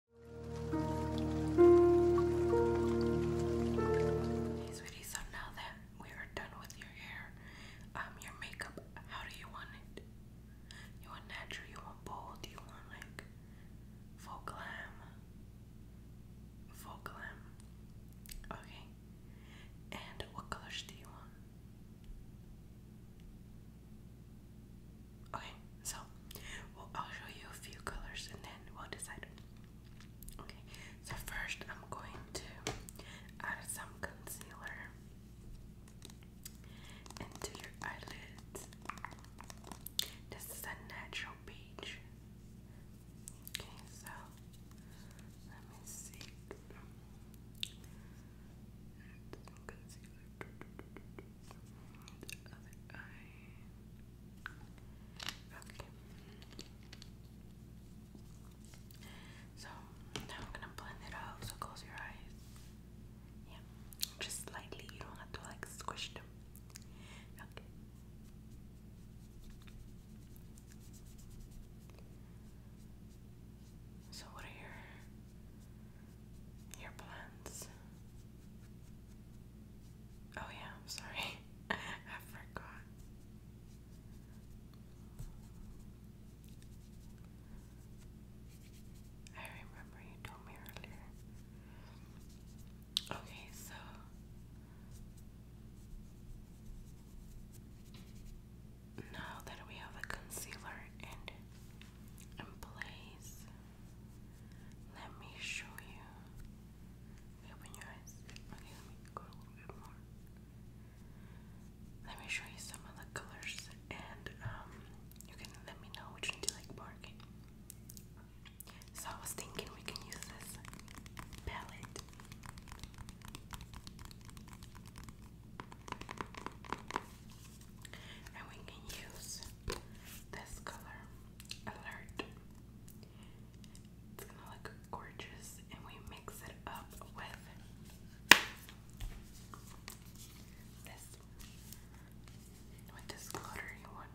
sweetie, so now that we are done with your hair, um, your makeup, how do you want it? You want natural, you want bold, you want like full glam? Full glam. Okay. And what colors do you want? Okay, so I'll show you a few colors and then we'll decide. Okay, so first I'm going to add some concealer into your eyelids. This is a natural peach. Okay, so let me see. concealer. So now I'm gonna blend it out. So close your eyes. Yeah, just slightly. You don't have to like squish them. Okay. So what are your your plans. Oh, yeah, sorry. I forgot. I remember you told me earlier. Okay, so. Now that we have a concealer and and Let me show you. Open your eyes. Okay, let me go a little bit more. Let me show you some of the colors, and um, you can let me know which one you like more. So I was thinking we can use this palette and we can use this color, Alert. It's gonna look gorgeous, and we mix it up with this, with this glittery one.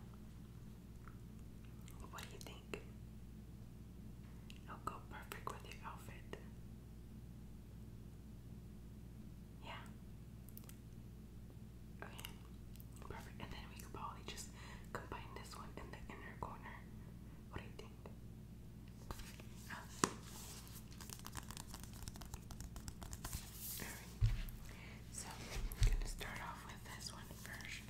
What do you think? It'll go perfect with your outfit. Yeah. Okay, perfect. And then we could probably just combine this one in the inner corner. What do you think? so I'm gonna start off with this one first.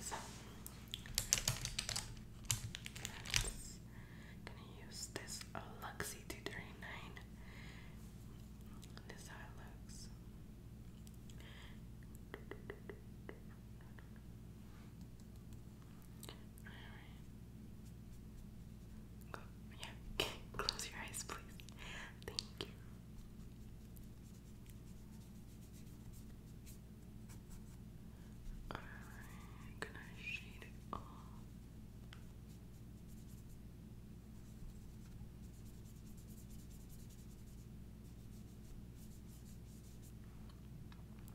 So gonna use this Luxie 239. This is looks. Alright. Go, close your eyes, please. Thank you. Alright, i shade it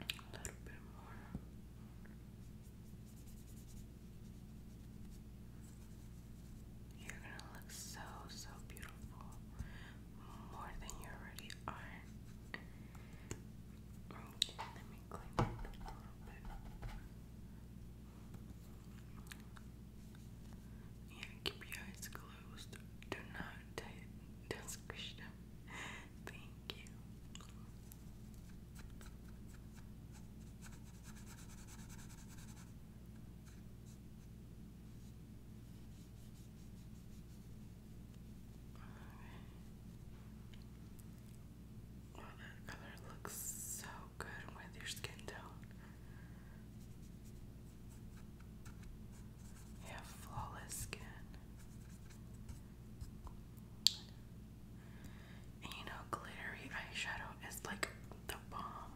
A little bit more. You're gonna look so, so beautiful. More than you already are. Yeah, keep your eyes closed. Do not tight. do them. Thank you. Well, that color looks so good with your skin tone. You have flawless skin you know, glittery eyeshadow is like the bomb.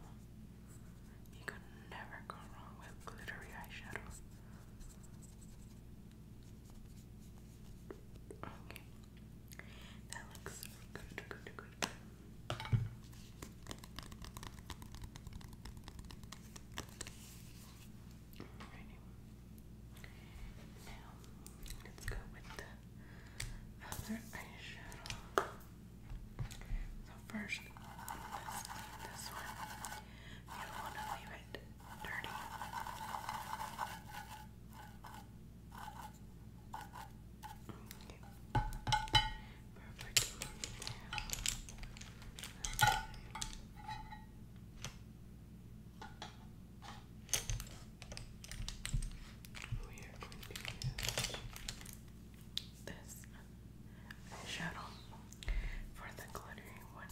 You can never go wrong with glittery eyeshadow. Okay. That looks good, good, good. Alrighty. Now, let's go with the other eyeshadow. So first, this, one, you don't want to leave it dirty. Perfect. We are going to use this shadow for the glittery one.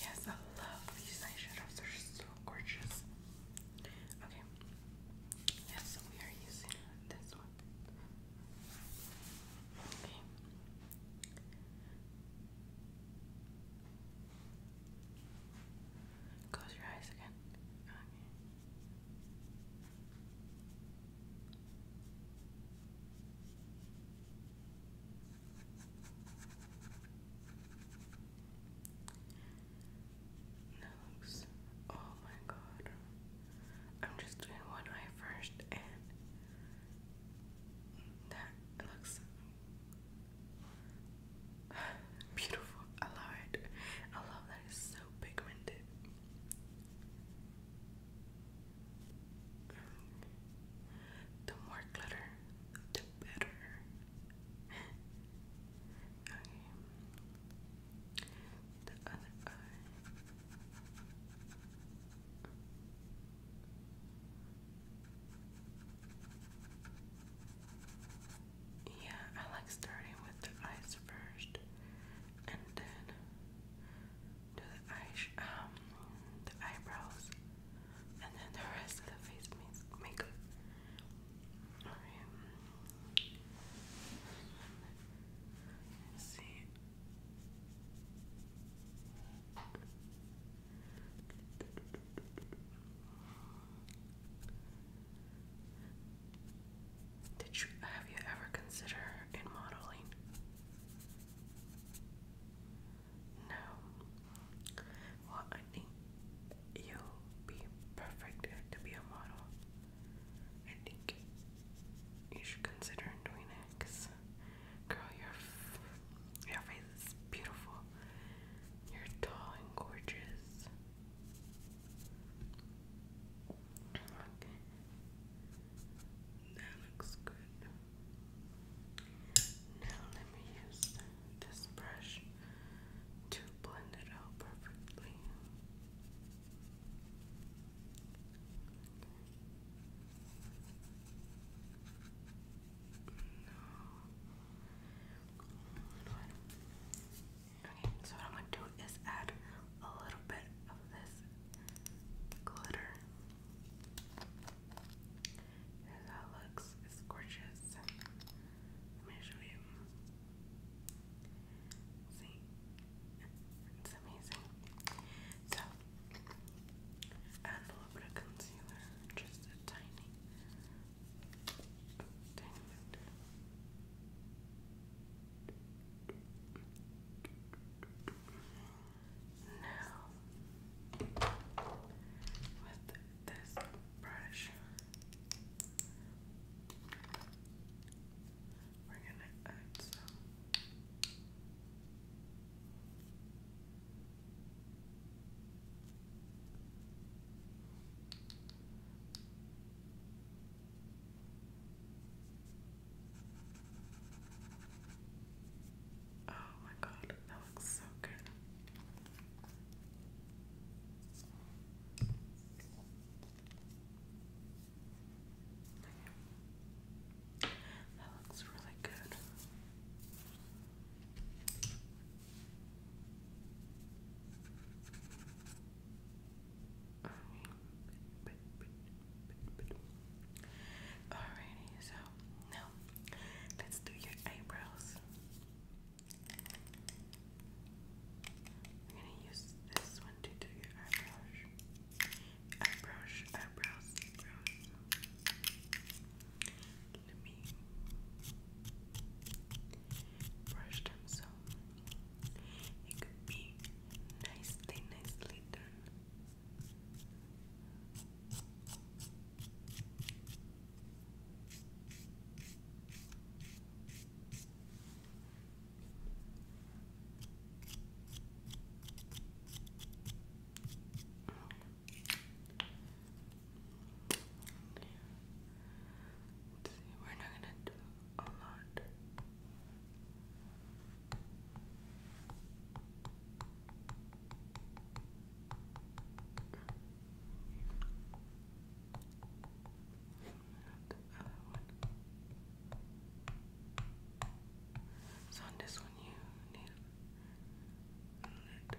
Yes, I love these eyeshadows. They're so gorgeous. Okay. Yes, we are using this one. Okay. Close your eyes again. Okay. Nose. Oh my god. I'm just doing one eye first and that looks beautiful. I love it. I love that it's so pigmented. The more glitter, the better. The other eye. Yeah, I like starting with the eyes first and then do the eyes, um, the eyebrows, and then the rest of the face means Alright. see. Did you have you ever consider in modeling? No. Well, I think you'll be perfect to be a model. I think you should consider doing it, cause girl, your your face is beautiful. You're tall and gorgeous. That looks good. Now let me use this brush to blend it out perfectly. No. Okay, so what I'm gonna do is add a little bit of this glitter that's looks. It's gorgeous. Let me show you. See? It's amazing. So, add a little bit of concealer. Just a tiny, tiny bit. Now, with this brush, we're gonna add some. Oh my god, that looks so good. That looks really good. Alrighty, so now let's do your eyebrows. I'm gonna use this one to do your eyebrows. Eyebrows, eyebrows, eyebrows. Let me brush them so it could be nicely, nicely done. Let's see, we're not gonna do a lot. And So on this one you need a little bit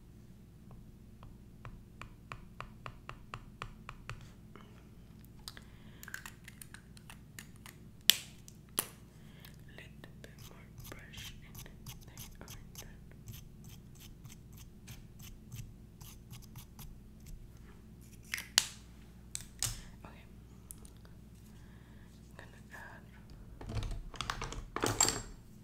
Little bit more brush in there. Right. Okay. I'm gonna add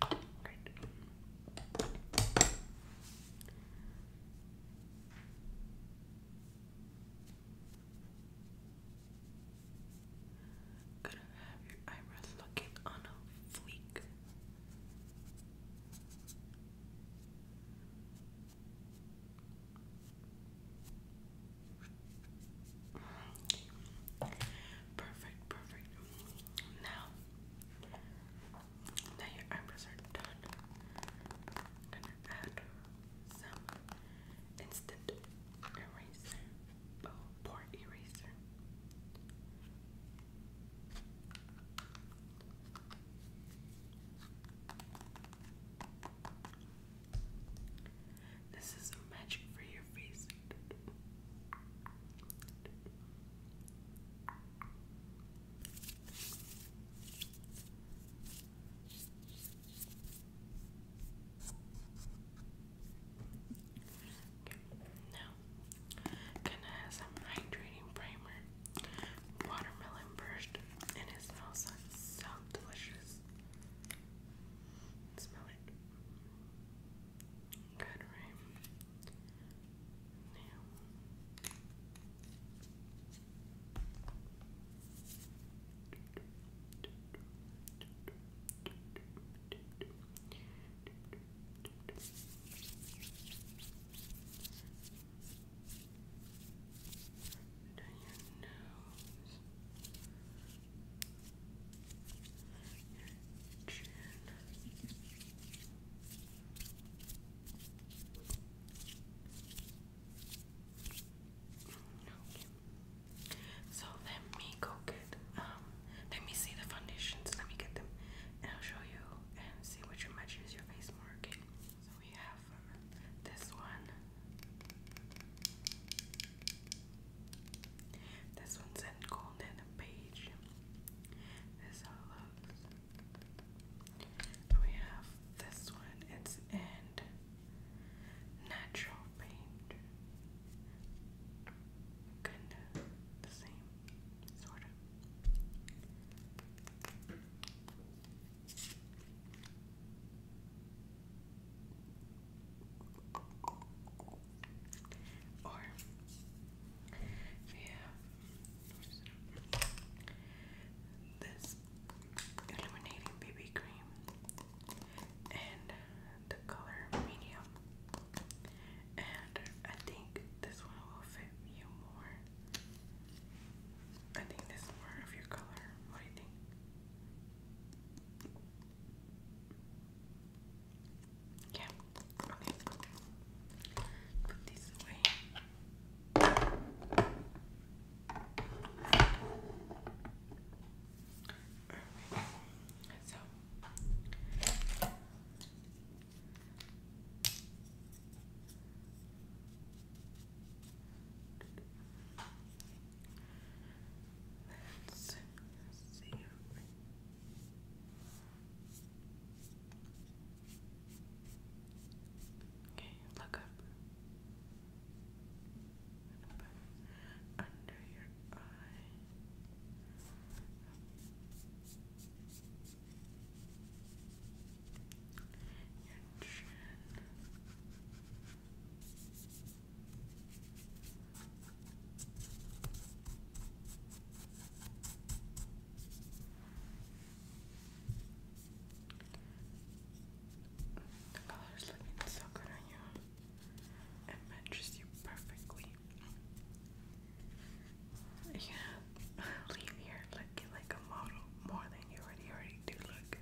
Great. Gonna have your eyebrows looking on a fleek. Perfect, perfect. Now now your eyebrows are done. gonna add some instant eraser. Oh, poor eraser. This is magic for your face. Now, gonna have some hydrating primer, watermelon burst, and it smells like so delicious. Smell it. Good, right? Now. Down your nose. So let me go get um let me see the foundations. Let me get them and I'll show you and see which one matches your face more. Okay. So we have uh, this one. This one's in golden beige. This is looks. We have this one. It's in natural paint. kind the same, sort of. Or if you have this illuminating BB cream and the color medium, and I think this one will fit you more. I think this is more of your color. What do you think? Yeah. Okay. Put these away. Alright. So Let's see. Okay, look up. under your eye. Your chin. The color's looking so good on you. It matches you perfectly. Yeah, leave here looking like a model more than you already already do look.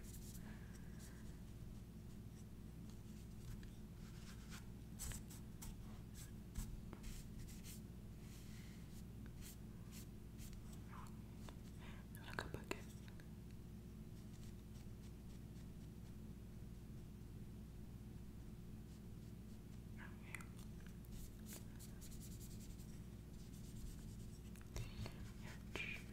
Like a bucket. Your chin.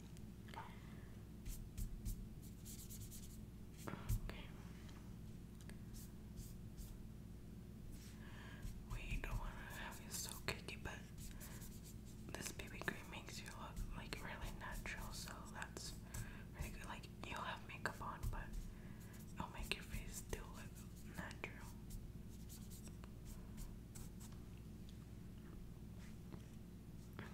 We don't want to have you so cakey, but this baby cream makes you look like really natural, so that's Like you have makeup on, but it'll make your face still look natural. Okay.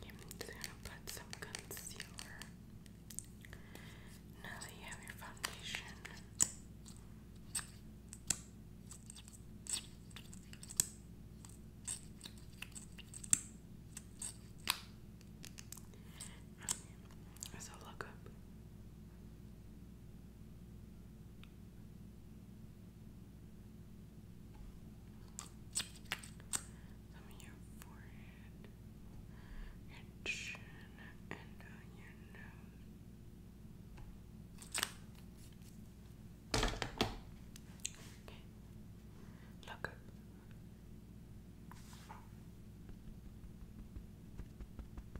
I'm just gonna put some concealer. Now that you have your foundation. Okay. So look up. Some of your forehead, chin, and on your nose. Okay. Look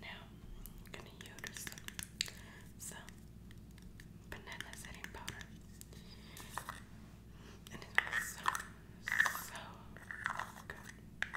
Now i gonna use some banana setting powder, and it so so good.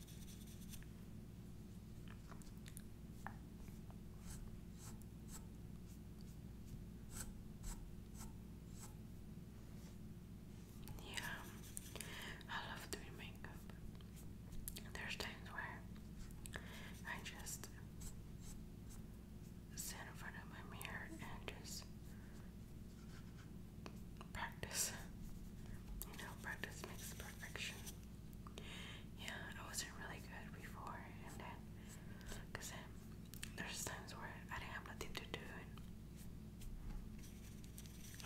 Yeah, I love doing makeup. There's times where I just sit in front of my mirror and just practice. You know, practice makes perfection. Yeah, I wasn't really good before, and then, cause there's times where I didn't have nothing to do,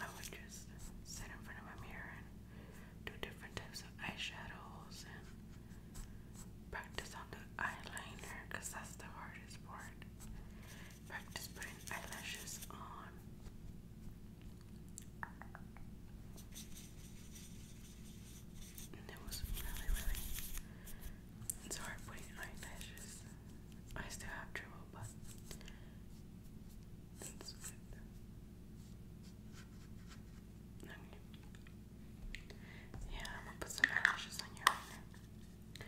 I would just sit in front of my mirror and do different types of eyeshadows and practice on the eyeliner, cause that's the hardest part. Practice putting eyelashes on. it was really, really. It's hard putting eyelashes. I still have trouble, but Yeah, I'm gonna put some eyelashes on you right now. But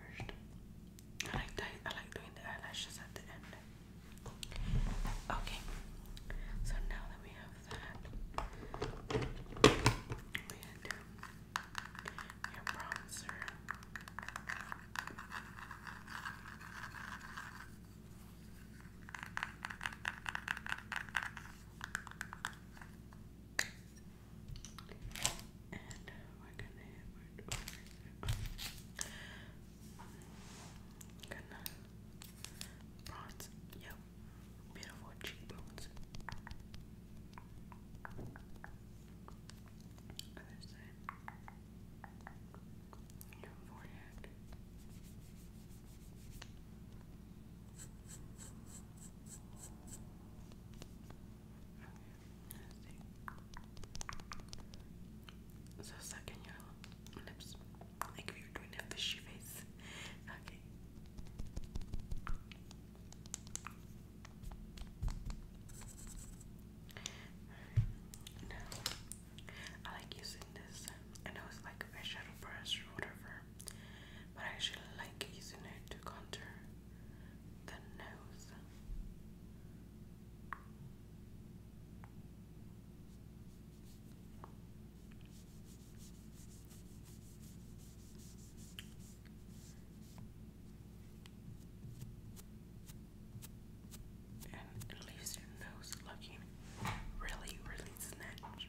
first, I like doing, I like doing the eyelashes at the end. Okay, so now that we have that, we had your bronzer and we're gonna we're, gonna bronze. Yep, beautiful cheekbones. Other side. Your forehead. So suck your lips. Like you're doing a fishy face. Okay. Now, I like using this. and I was like a eyeshadow brush or whatever, but I actually like using it to contour the nose. And it leaves your nose looking really, really snatched.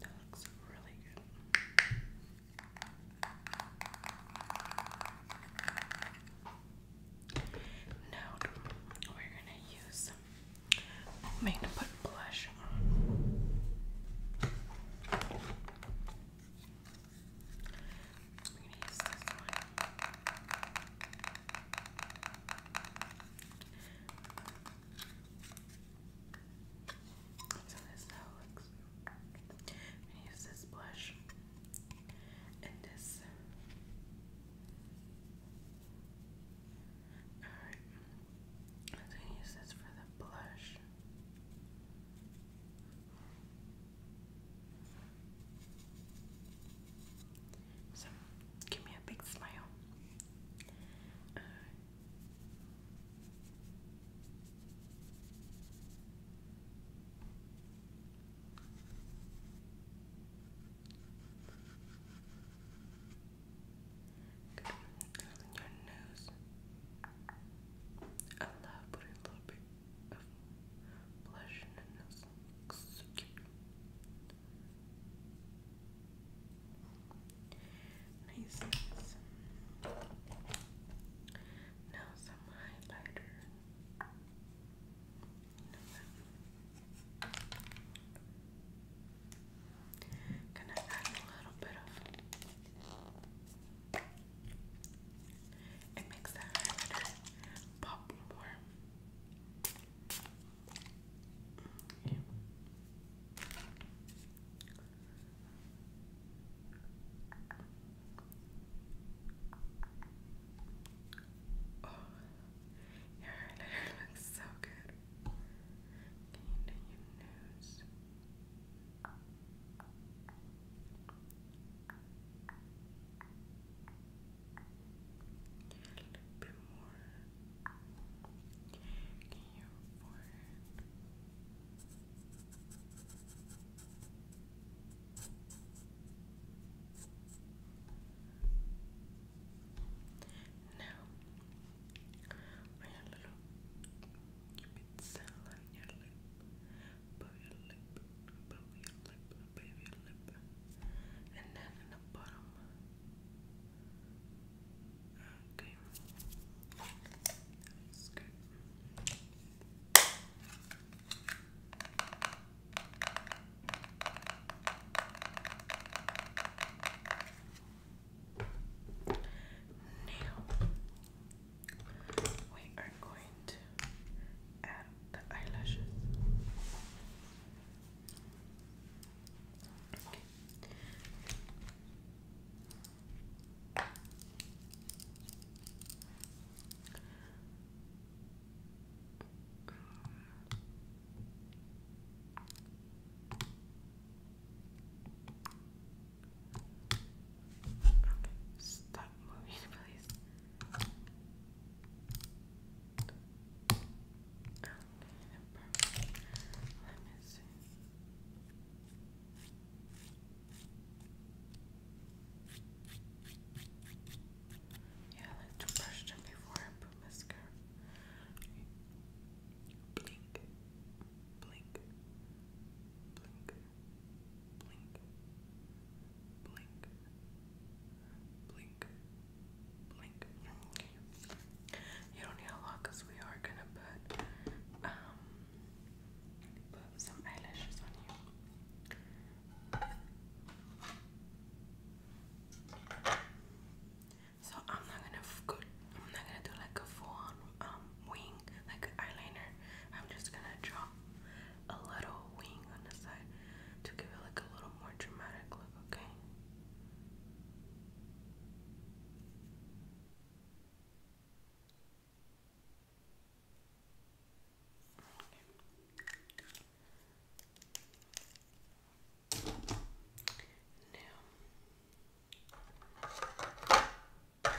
That looks really good. Now we're gonna use I'm going to put blush on. I'm So this now looks. I'm going to use this blush and this. Alright, I'm going to use this for the blush. So, give me a big smile. Uh, your nose. I love putting a of blush Now some highlighter. You Gonna add a little bit of it makes the pop more. Okay. Oh, your highlighter looks so good. Can you your nose? little bit more. Okay, your forehead. Now, on your little cupid's cell on your lip, above your lip, above your lip, above your lip, and then in the bottom. Okay. That's good. Now, we are going to add the eyelashes stop moving, please. Okay, perfect. Let me see. Yeah, I like to brush them before I put mascara. Blink, blink, blink, blink, You don't need a lot because we are gonna put um put some eyelashes on you. So I'm not gonna I'm not gonna do like a full on um, wing, like eyeliner, I'm just gonna draw a little wing on the side to give it like a little more dramatic look, okay? okay. Now,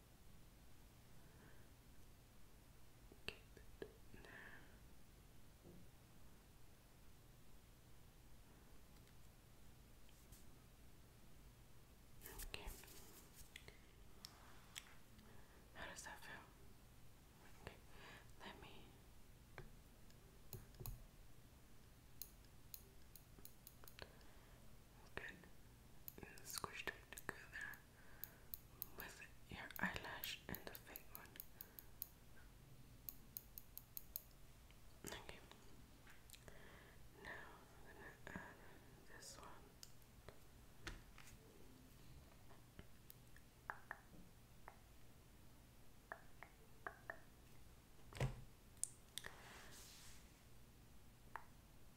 Keep it there. Okay. How does that feel? Okay. Let me Good. And squish them together with your eyelash and the fake one. Okay. Now I'm gonna add this one.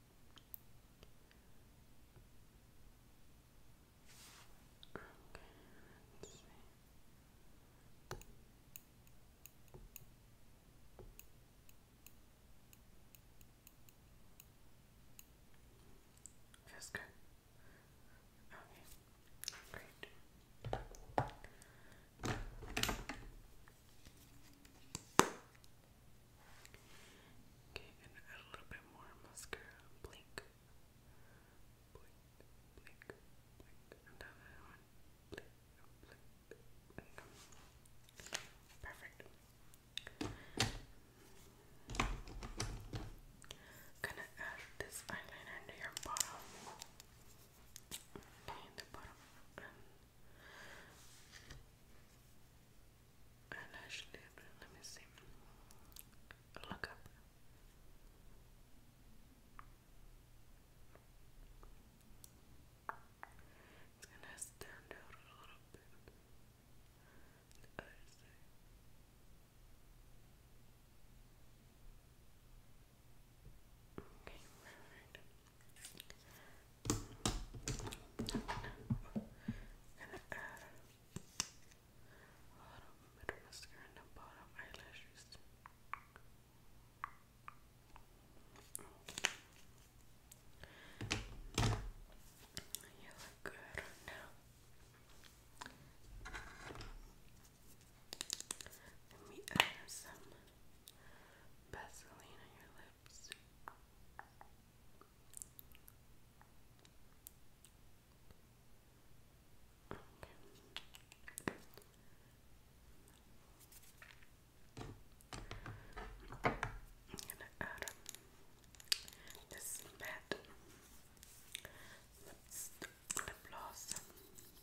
Okay, let Feels good. Okay, great. Okay, and add a little bit more mascara. Blink, blink, blink, blink, and one. Blink, blink, Perfect. Gonna add this eyeliner to your bottom. Okay, the bottom eyelash lid. Let me see. Look up. It's gonna stand out a little bit. Okay, right gonna add a lot of mascara in the bottom eyelashes. You look good now. Let me add some Vaseline on your lips. Okay. I'm gonna add this bed lip gloss. Okay,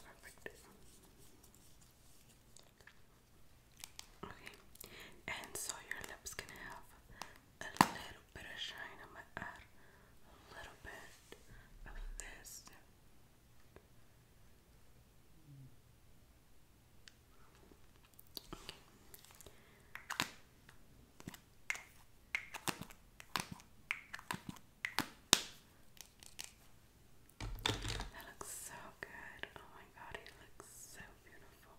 Perfect. Okay, and so your lips can have a little bit of shine. I'm gonna add a little bit of this. That looks so good. Oh my god, it looks so beautiful.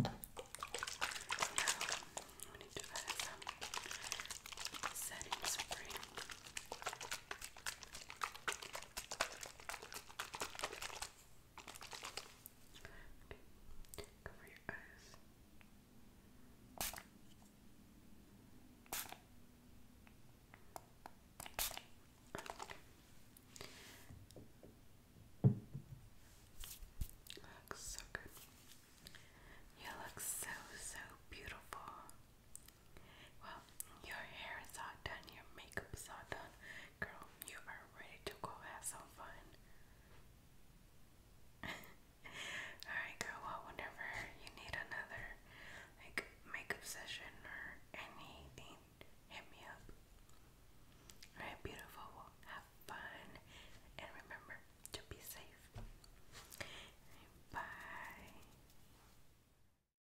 Okay. we need to add some setting spray. Okay. Cover your eyes. Okay. Looks so good. You look so so beautiful. Well, your hair is all done, your makeup is all done. Girl, you are ready to go have some fun. Alright, girl, well, whenever you need another like makeup session or anything, hit me up. Alright, beautiful, well, have fun and remember to be safe. Bye.